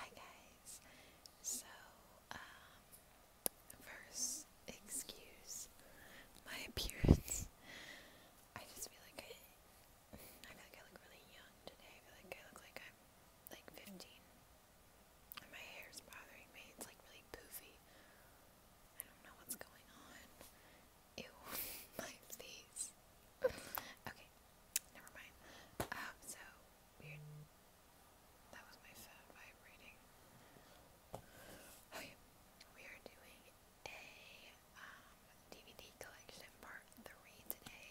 Hi guys. So, um, first, excuse my appearance. I just feel like I, I feel like I look really young today. I feel like I look like I'm like 15. And my hair's bothering me. It's like really poofy. I don't know what's going on. Ew, my face okay, never mind. Um, so That was my phone vibrating. we are doing a DVD um, collection part three today.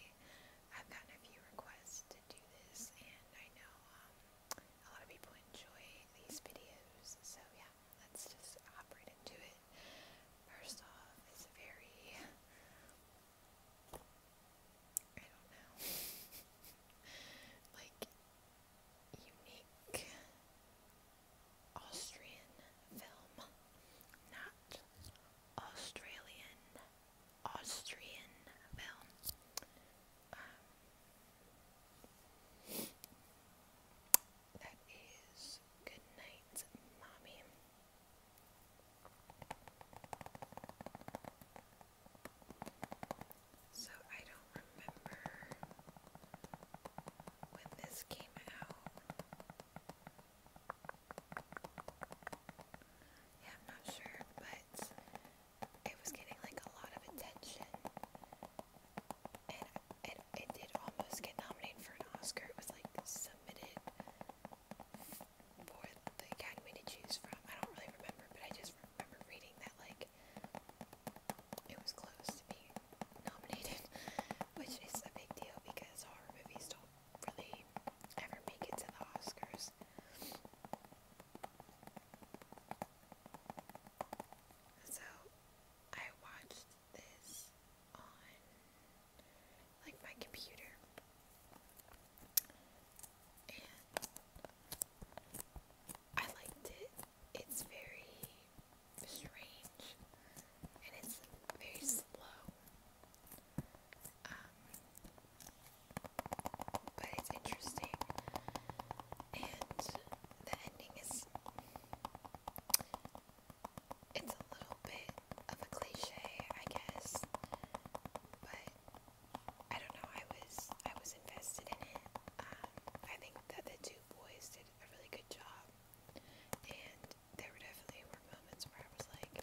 I've gotten a few requests to do this, and I know um, a lot of people enjoy these videos. So yeah, let's just hop right into it. First off, it's very I don't know. like unique Austrian film. Not Australian. Austrian film. that is Good Night Mommy. So I don't remember when this came out. Yeah, not sure, but it was getting like a lot of attention. And it, it did almost get nominated for an Oscar. It was like submitted board the academy to choose from. I don't really remember, but I just remember reading that like it was close to being nominated, which is a big deal because horror movies don't really ever make it to the Oscars. So I watched this on like my computer. And I liked it. It's very strange and it's very slow. Um, but it's interesting. And the ending is it's a little bit of a cliche, I guess, but I don't know. I was I was invested in it. Um, I think that the two boys did a really good job, and there were definitely were moments where I was like,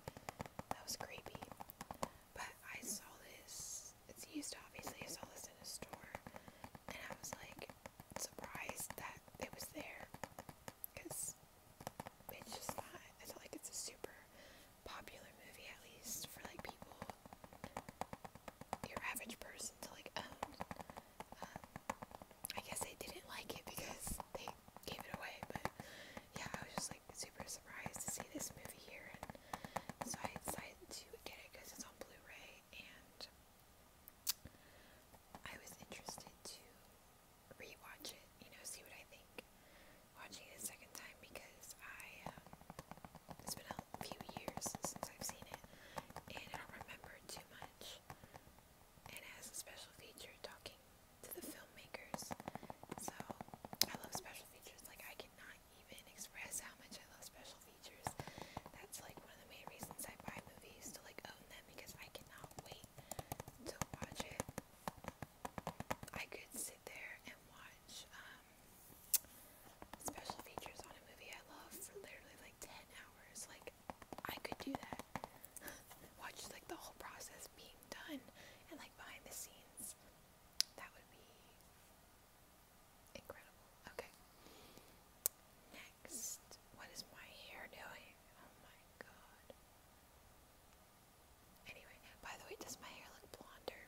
that was creepy. But I saw this. It's used obviously. I saw this in a store, and I was like surprised that it was there, because it's just not. I feel like it's a super popular movie, at least for like people, your average person to like own. Um, I guess they didn't like it because they gave it away, but yeah, I was just like super surprised to see this movie here, and so I decided to get it because it's on Blu-ray, and I was interested to rewatch it, you know, see what I think. Watching it a second time because I, um, it's been a few years since I've seen it, and I don't remember too much. And it has a special feature talking to the filmmakers. So, I love special features. Like, I cannot even express how much I love special features. That's like one of the main reasons I buy movies to like own because I cannot wait to watch it. I could sit there and watch um, special features on a movie I love for literally like 10 hours. Like, I could do that. watch like the whole process being done and like behind the scenes. That would be incredible. Okay. What is my hair doing? Oh my god. Anyway, by the way, does my hair look blonder?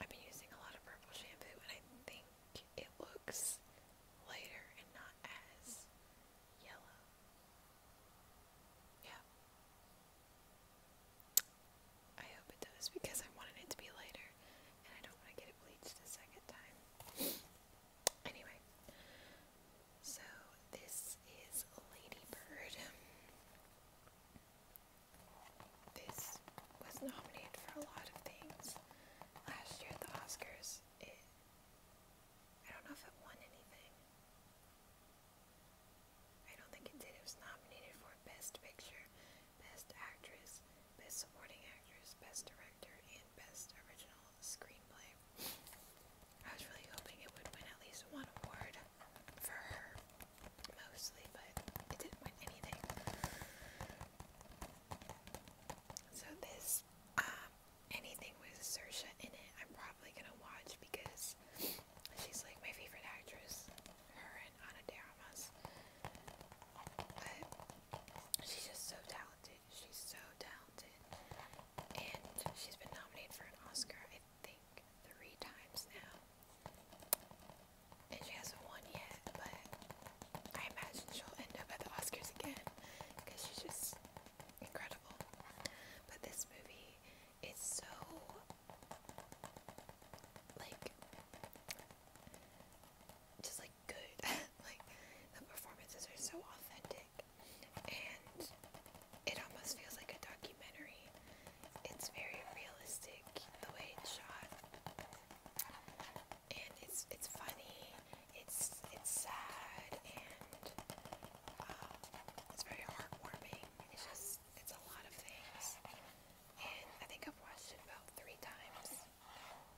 I've been using a lot of purple shampoo and I think it looks lighter and not as yellow. Yeah. I hope it does because I wanted it to be lighter and I don't want to get it bleached a second time. Anyway, so this is Ladybird. This was nominated for a lot of things last year at the Oscars. It, I don't know if it won anything. I don't think it did. It was nominated for Best Picture, Best Actress, Best Supporting Actress, Best Director, Best Original Screenplay. I was really hoping it would win at least one award for her, mostly, but it didn't win anything. So this, um, anything with Saoirse in it, I'm probably gonna watch because she's like my favorite actress. Her and Ana de Armas. But she's just so talented. She's so talented. And she's been nominated for an Oscar, I think, three times now. And she hasn't won yet, but I imagine she'll end up at the Oscars again because she's just incredible. But this movie is so like just like good. like the performances are so authentic, and it almost feels like a documentary. It's very realistic the way it's shot, and it's it's funny. It's it's sad and um, it's very heartwarming. It's just it's a lot of things, and I think I've watched it about three times.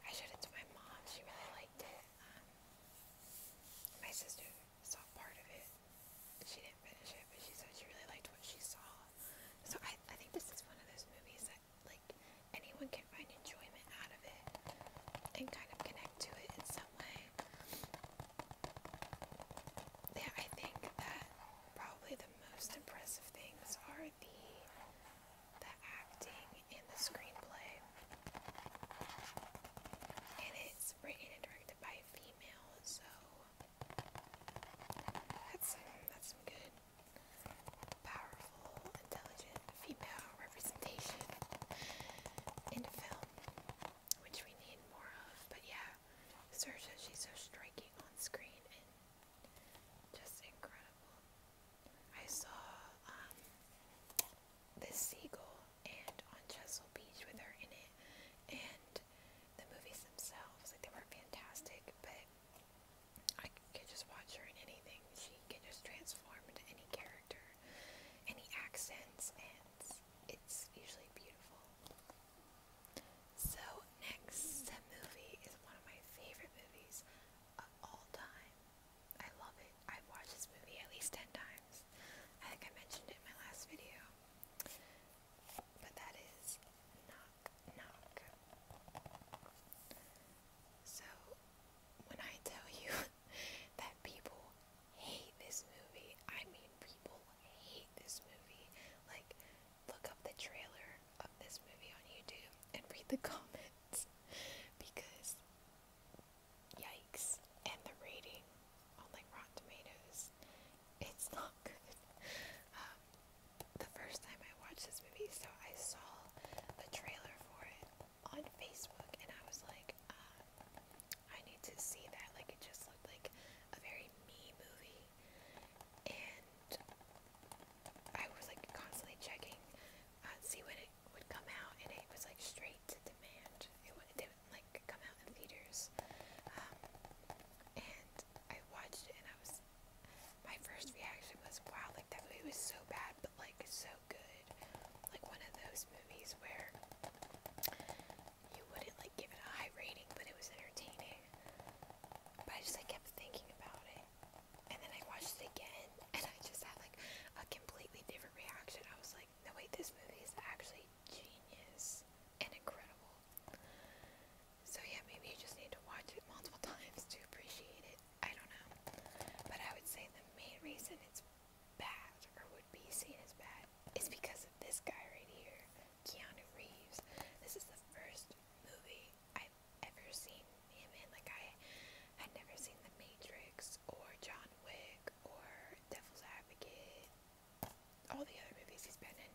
I showed it to my mom. She really liked it. Um, my sister saw part of it. She didn't finish it, but she said she really liked what she saw. So I, I think this is one of those movies that like anyone can find enjoyment out of it and kind of connect to it in some way. Yeah, I think that probably the most impressive things are the the acting and the screenplay. And it's written and directed by a female, so that's that's good, powerful, intelligent female representation in film, which we need more of. But yeah, Saoirse, she's so striking on screen and just incredible. I saw um, this seagull and on Chesil Beach with her in it, and the movies themselves, like they were fantastic, but I could just watch her in anything. She can just transform into any character, any accents, and it's usually beautiful. So next movie is one of my favorite movies of all time. I love it. I've watched this movie at least 10 times. I think I mentioned it in my last video. But that is Knock Knock. So, when I tell you that people hate this movie, I mean people hate this movie. Like, look up the trailer of this movie on YouTube and read the comments because yikes. And the rating on like Rotten Tomatoes, it's not good. Um, the first time I watched this movie, so I saw the trailer for it on Facebook and I was like, uh, I need to see that. Like, it just looked like a very me movie. And I was like constantly checking uh, see when it would come out, and it was like straight to demand. It, would, it didn't like come out in theaters. Um, and I watched it, and I was my first reaction was, wow, like that movie was so bad, but like so good. Like one of those movies where you wouldn't like give it a high rating, but it was entertaining. But I just like kept thinking about it, and then I watched it again, and I just had like a completely different reaction. I was like, no wait, this movie is actually genius and incredible. So yeah, maybe you just need to watch it multiple times to appreciate it. I don't know, but I would say the main reason it's bad or would be seen as bad is because of this guy right here, Keanu Reeves. This is the first movie I I've ever seen him in. Like I had never seen The Matrix or John Wick or Devil's Advocate. All the other movies he's been in,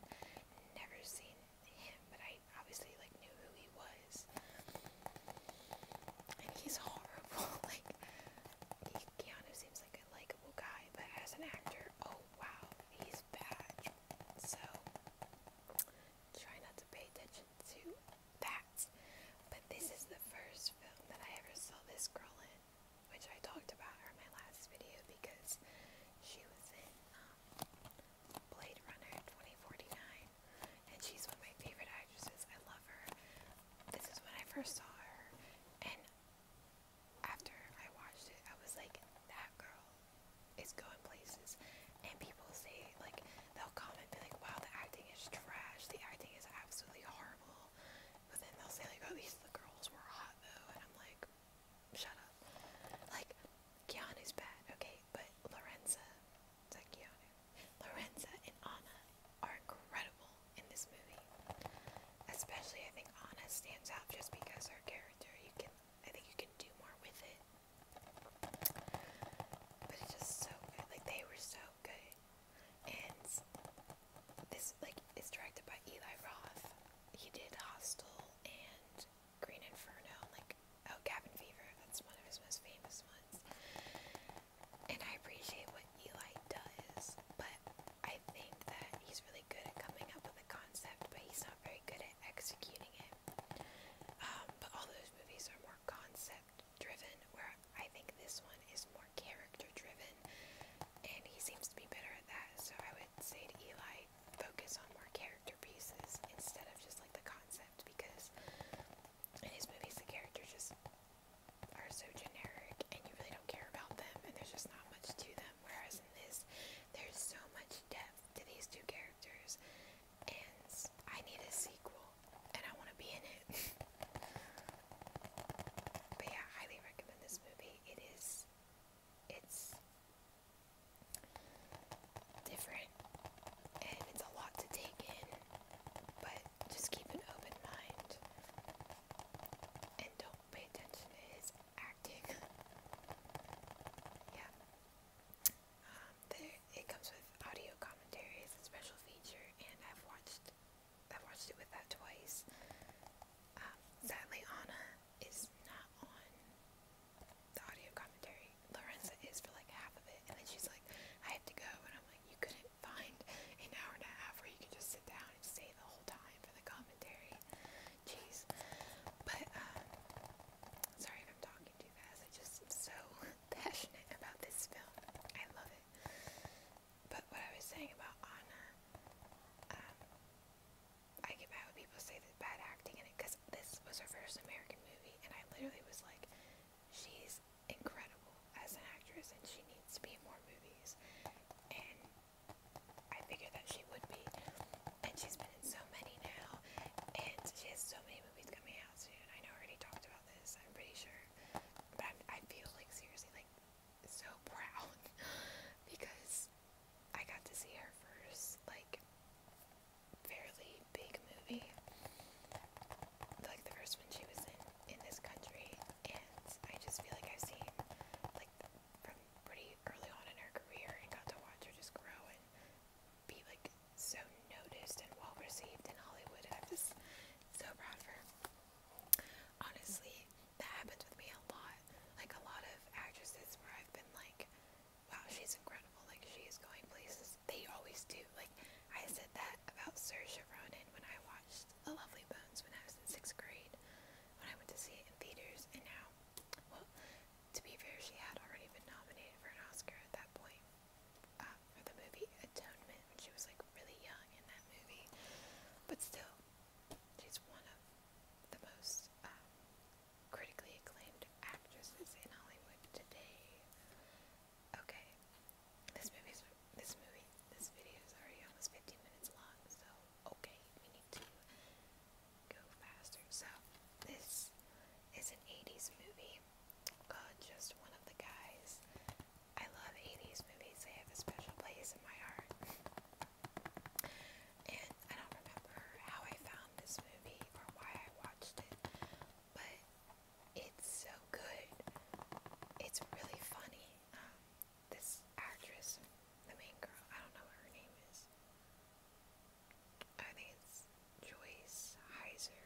never seen him, but I obviously like knew who he was. And he's horrible. like Keanu seems like a likable guy, but as an actor, oh wow, he's bad. So try not to pay attention to that. But this is the first film that I ever saw this girl in, which I talked about her in my last video because she was in um, Blade Runner 2049, and she's one of my favorite actresses. I love her. This is when I first saw her, and after I watched it, I was like, that girl is going places. And people say, like, they'll come and be like, wow, the acting is trash. The acting is absolutely horrible. But then they'll say, like, oh, these the girls were hot, though. And I'm like, shut up. Like, Keanu's bad, okay? But Lorenza, like Keanu. Lorenza and Anna are incredible in this movie. Especially, I think Anna stands out just because her character, you can, I think you can do more with it. But it's just so good. Like they were so good. And this like is directed by Eli Roth. He did Hostel and Green Inferno like oh Cabin Fever. That's one of his most famous ones. And I appreciate what Eli does, but I think that he's really good at coming up with a concept, but he's not very good at executing it. Um, but all those movies are more concept driven, where I think this one is more character driven, and he seems to be better at that. So I would say to Eli, focus on more character pieces instead of just like the concept, because in his movies, the characters just are so generic and you really don't care about them, and there's just not much to them. Whereas in this, there's so much depth to these two characters, and I need a sequel, and I want to be in it. but yeah, highly recommend this movie. It is, it's different, and it's a lot to take in, but just keep an open mind, and don't pay attention to his acting. yeah. Um, it comes with audio commentary as a special feature, and I've watched, I've watched it with that twice. Um, sadly, Anna is not on the audio commentary. Lorenza is for like half of it, and then she's like, "I have to go," and I'm like, "You couldn't find an hour and a half where you could just sit down and stay the whole time for the commentary." Jeez, but uh, Sorry if I'm talking too fast. I am just so passionate about this film. I love it. But what I was saying about Anna, um, I get mad when people say that bad acting in it because this was her first American movie, and I literally was like, she's incredible as an actress, and she needs to be in more movies. And I figured that she would be, and she's been in so many now, and she has so many movies coming out soon. I know I already talked about this, I'm pretty sure, but i I feel like seriously like so proud because I got to see her first like fairly big movie, like the first one she was in in this country, and I just feel like I've seen like from pretty early on in her career and got to watch her just grow and be like so noticed and well received in Hollywood. I'm just so proud of her. Honestly, that happens with me a lot. Like a lot of actresses where I've been like, wow, she's incredible. Like she is going places. They always do. Like I said that about Saoirse Ronan when I watched The Lovely Bones when I was in sixth grade, when I went to see it in theaters, and now, well, to be fair, she had already been nominated for an Oscar at that point uh, for the movie Atonement she was like really young in that movie. But still, she's one of the most um, critically acclaimed actresses in Hollywood today. Okay, this movie's this movie this video is already almost 15 minutes long, so okay, we need to go faster. So this is an 80s movie. just one of the guys. I love 80s movies. They have a special place in my heart. and I don't remember how I found this movie or why I watched it, but it's so good. It's really funny. Um, this actress, the main girl, I don't know what her name is. I think it's Joyce Heiser.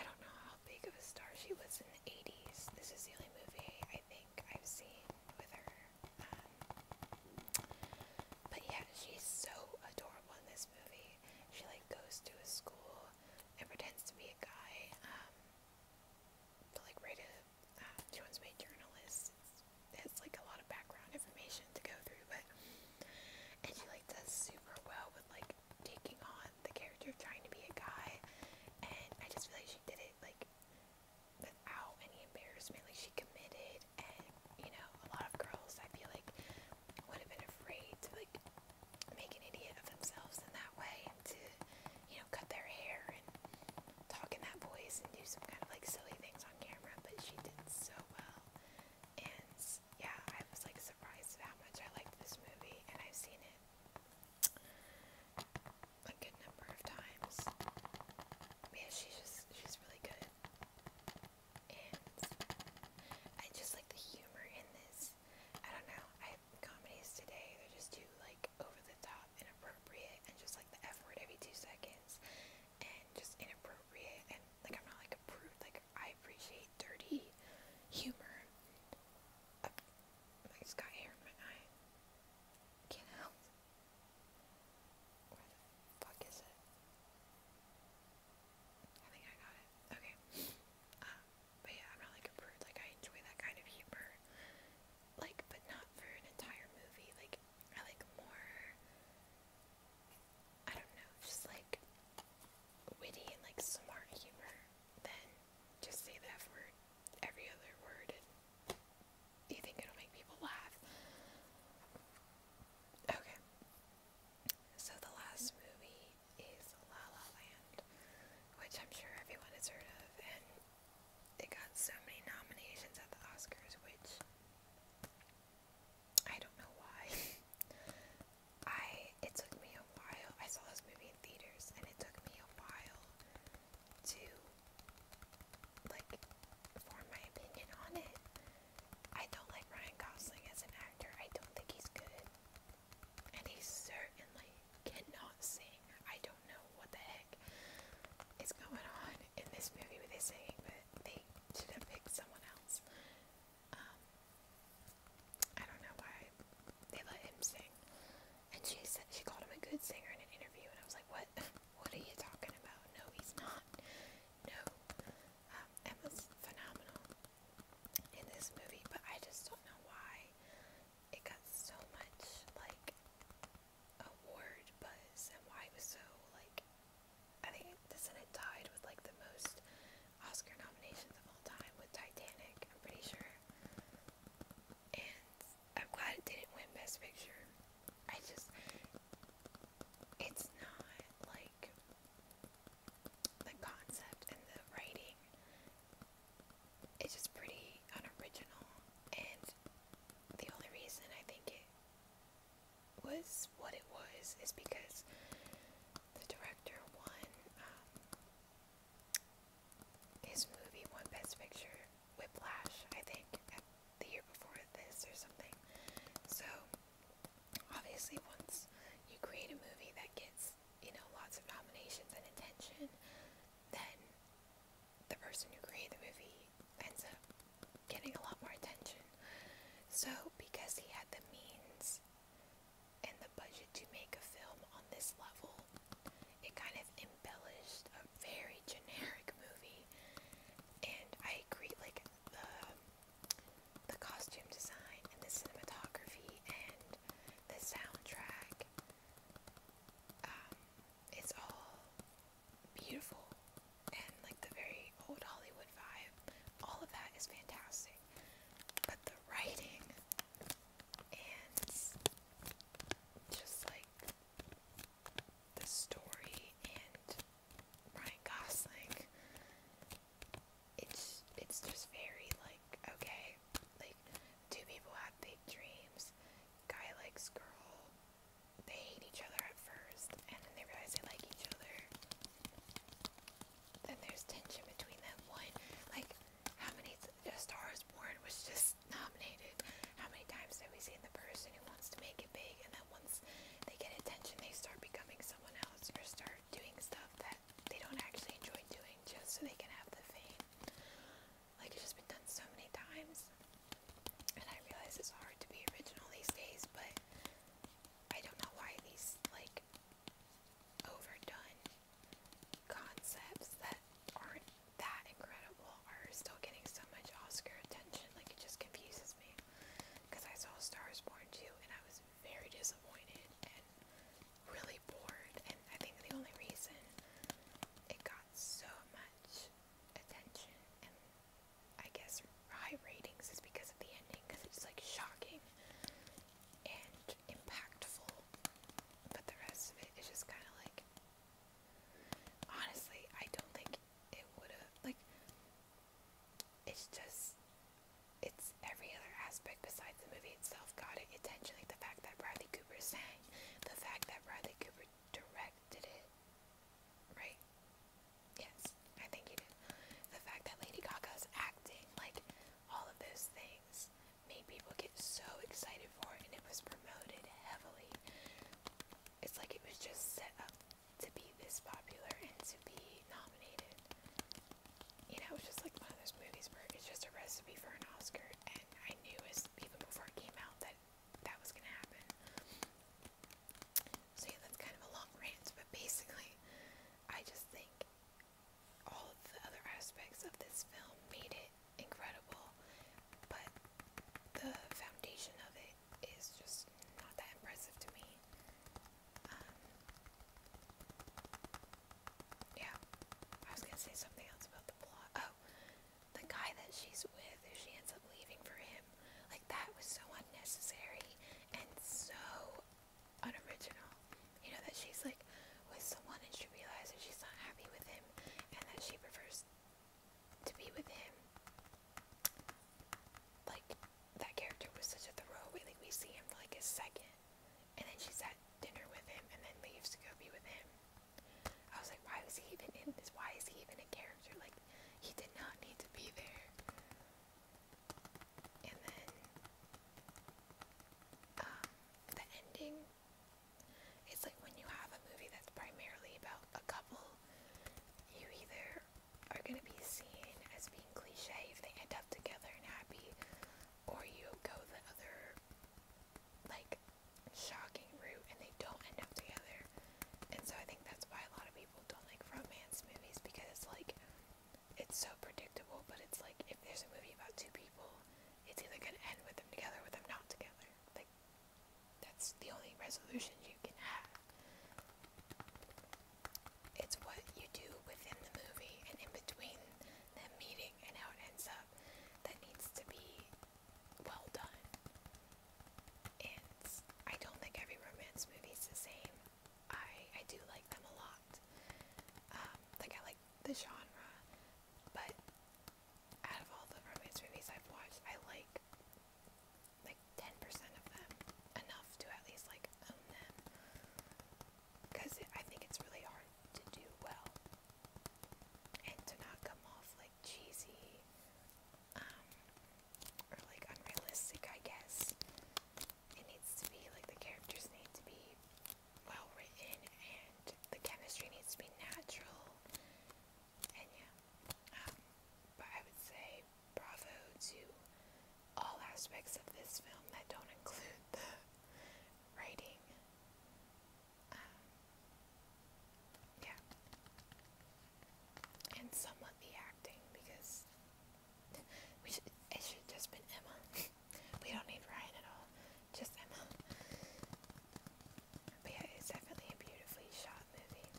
I don't know how big of a star she was in the 80s. This is the only movie I think I've seen with her. Um, but yeah, she's so adorable in this movie. She like goes to a school and pretends to be a guy. Um, to like write a, uh, she wants to be a journalist. It's it's like a lot of background information to go through, but and she like does super well with like taking on the character of trying to be a guy, and I just feel like she did it like without any embarrassment. Like she committed, and you know, a lot of girls I feel like would have been afraid to like make an idiot of themselves in that way, and to you know, cut their hair and talk in that voice and do some kind of like silly things on camera, but she did so well. And yeah, I was like surprised at how much I liked this movie, and I've seen it a good number of times. Yeah, she's just she's really good, and I just like the humor in this. I don't know. I comedies today they're just too like over the top, inappropriate, and just like the F word every two seconds and just inappropriate and like I'm not like a like I appreciate dirty humor. Uh, I just got hair in my Can't help. Where the fuck is it? I think I got it. Okay. Um, but yeah, I'm not like a Like I enjoy that kind of humor. Like, but not for an entire movie. Like I like more, I don't know, just like witty and like smart humor than just say the F word every other word and you think it'll make people laugh. Okay. So the last movie is La La Land, which I'm sure everyone has heard of and they got so many nominations at the Oscars, which I don't know why. I it took me a while. I saw this movie in theaters, and it took me a while to like form my opinion on it. I don't like Ryan Gosling as an actor. I don't think he's good, and he certainly cannot sing. I don't don't know what the heck is going on in this movie with his singing, but they should have picked someone else. Um, I don't know why they let him sing. And she said she called him a good singer in an interview, and I was like, "What? What are you talking about? No, he's not. No." Um, Emma's phenomenal in this movie, but I just don't know why it got so much like award buzz and why it was so like I think it doesn't with like the most Oscar nominations of all time with Titanic, I'm pretty sure. And I'm glad it didn't win Best Picture. I just it's not like the concept and the writing it's just pretty unoriginal and the only reason I think it was what it was is because the director won um, his movie won Best Picture Whiplash, I think, at the year before this or something. So obviously, once you create a movie that gets you know lots of nominations and attention, then the person who created the movie ends up getting a lot more attention. So, because he had the means and the budget to make a film on this level, it kind of embellished a very generic movie. And I agree, like the the costume design and the cinematography and the soundtrack. Um, it's all beautiful and like the very old Hollywood vibe. All of that is fantastic. But the writing and just like the story and Ryan Gosling, it's it's just very like okay, like two people have big dreams, guy likes girl. They hate each other at first, and then they realize they like each other. Then there's tension between them. One, like, how many A Star is Born was just nominated? How many times have we seen the person who wants to make it big, and then once they get attention, they start becoming someone else or start doing stuff that they don't actually enjoy doing just so they can have the fame? Like it's just been done so many times. And I realize it's hard to be original these days, but I don't know why these like overdone concepts that aren't that incredible are still getting so much Oscar attention. Like it just confuses me. Because I saw Star is Born too, and I was very disappointed and really bored. And I think the only reason it got so much much attention and I guess high ratings is because of the ending because it's like shocking and impactful, but the rest of it is just kind of like honestly, I don't think it would have like it's just it's every other aspect besides the movie itself got it attention like the fact that Bradley Cooper sang, the fact that Bradley Cooper directed it, right? Yes, I think he did. The fact that Lady Gaga's acting, like all of those things, made people get so excited for it, and it was promoted heavily. It's like it was just set up to be this popular and to be nominated. You know, it's just like one of those movies where it's just a recipe for an Oscar I knew even before it came out that that was gonna happen. So yeah, that's kind of a long rant, but basically, I just think all the other aspects of this film made it incredible, but the foundation of it is just not that impressive to me. Um, yeah, I was gonna say something else about the plot. Oh, the guy that she's with, who she ends up leaving for him, like that was so unnecessary and so unoriginal. You know, that she's like with someone and she realizes she's not happy with him and that she prefers to be with him. Like, that character was such a throwaway, like, we see him for like a second and then she's at dinner with him and then leaves to go be with him. I was like, why was he even in this? Why is he even a character? Like, he did not need to be there. And then, um, the ending. It's like when you have a movie that's primarily about a couple, you either are going to be seen as being cliche if they end up together and happy, or you go the other, like, shocking route and they don't end up together. And so I think that's why a lot of people don't like romance movies because it's like it's so predictable, but it's like if there's a movie about two people, it's either gonna end with them together or with them not together. Like that's the only resolution you can have. It's what you do within the movie and in between the meeting working and how it ends up that needs to be well done. And I don't think every romance movie is the same. I, I do like them a lot. Um, like, I like the genre, but out of all the romance movies I've watched, I like like 10% of them enough to at least like own them. Because I think it's really hard to do well and to not come off like cheesy um, or like unrealistic, I guess. It needs to be like the characters need to be well written and the chemistry needs to be natural. And yeah, um, but I would say bravo to all aspects of this film that don't include the writing. Um, yeah. And somewhat the acting because we should, it should have just been Emma. we don't need Ryan at all. Just Emma. But yeah, it's definitely a beautifully shot movie.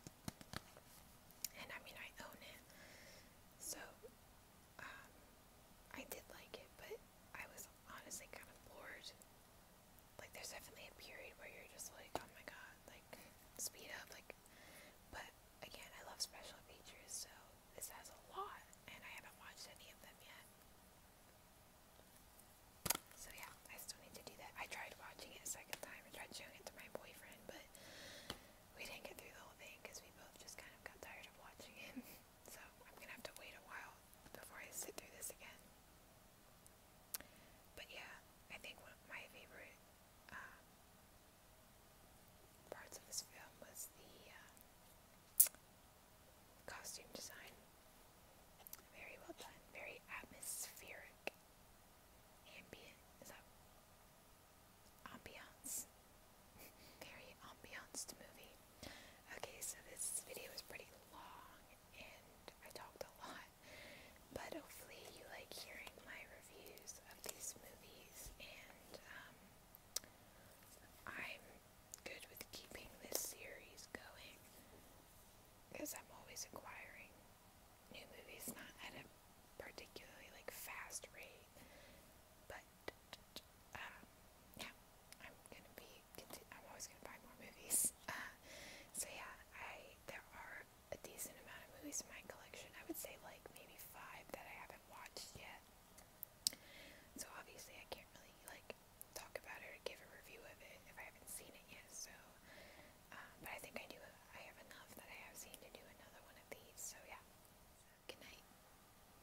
And I mean, I own it. So, um, I did like it, but I was honestly kind of bored. Like, there's definitely a period where you're just like, oh my god, like, speed up, like, but again, I love special features, so this has a lot, and I haven't watched any of them yet. So yeah, I still need to do that. I tried watching it a second time, I tried showing it to my boyfriend, but we didn't get through the whole thing because we both just kind of got tired of watching it. So I'm gonna have to wait a while before I sit through this again. But yeah, I think one of my favorite um, parts of this film was the uh, costume design. Very well done, very atmospheric. Ambient, is that ambiance? very ambienced movie. Okay, so this video is pretty long and I talked a lot, but hopefully you like hearing my reviews of these movies and um, I'm good with keeping this series going because I'm always acquiring new movies, not at a particularly like fast rate, but and uh, yeah, I'm gonna be. I'm always gonna buy more movies. Uh, so yeah, I there are a decent amount of movies in my collection. I would say like maybe five that I haven't watched yet. So obviously, I can't really like talk about it or give a review of it if I haven't seen it yet. So, um, but I think I do. I have enough that I have seen to do another one of these. So yeah. Good night.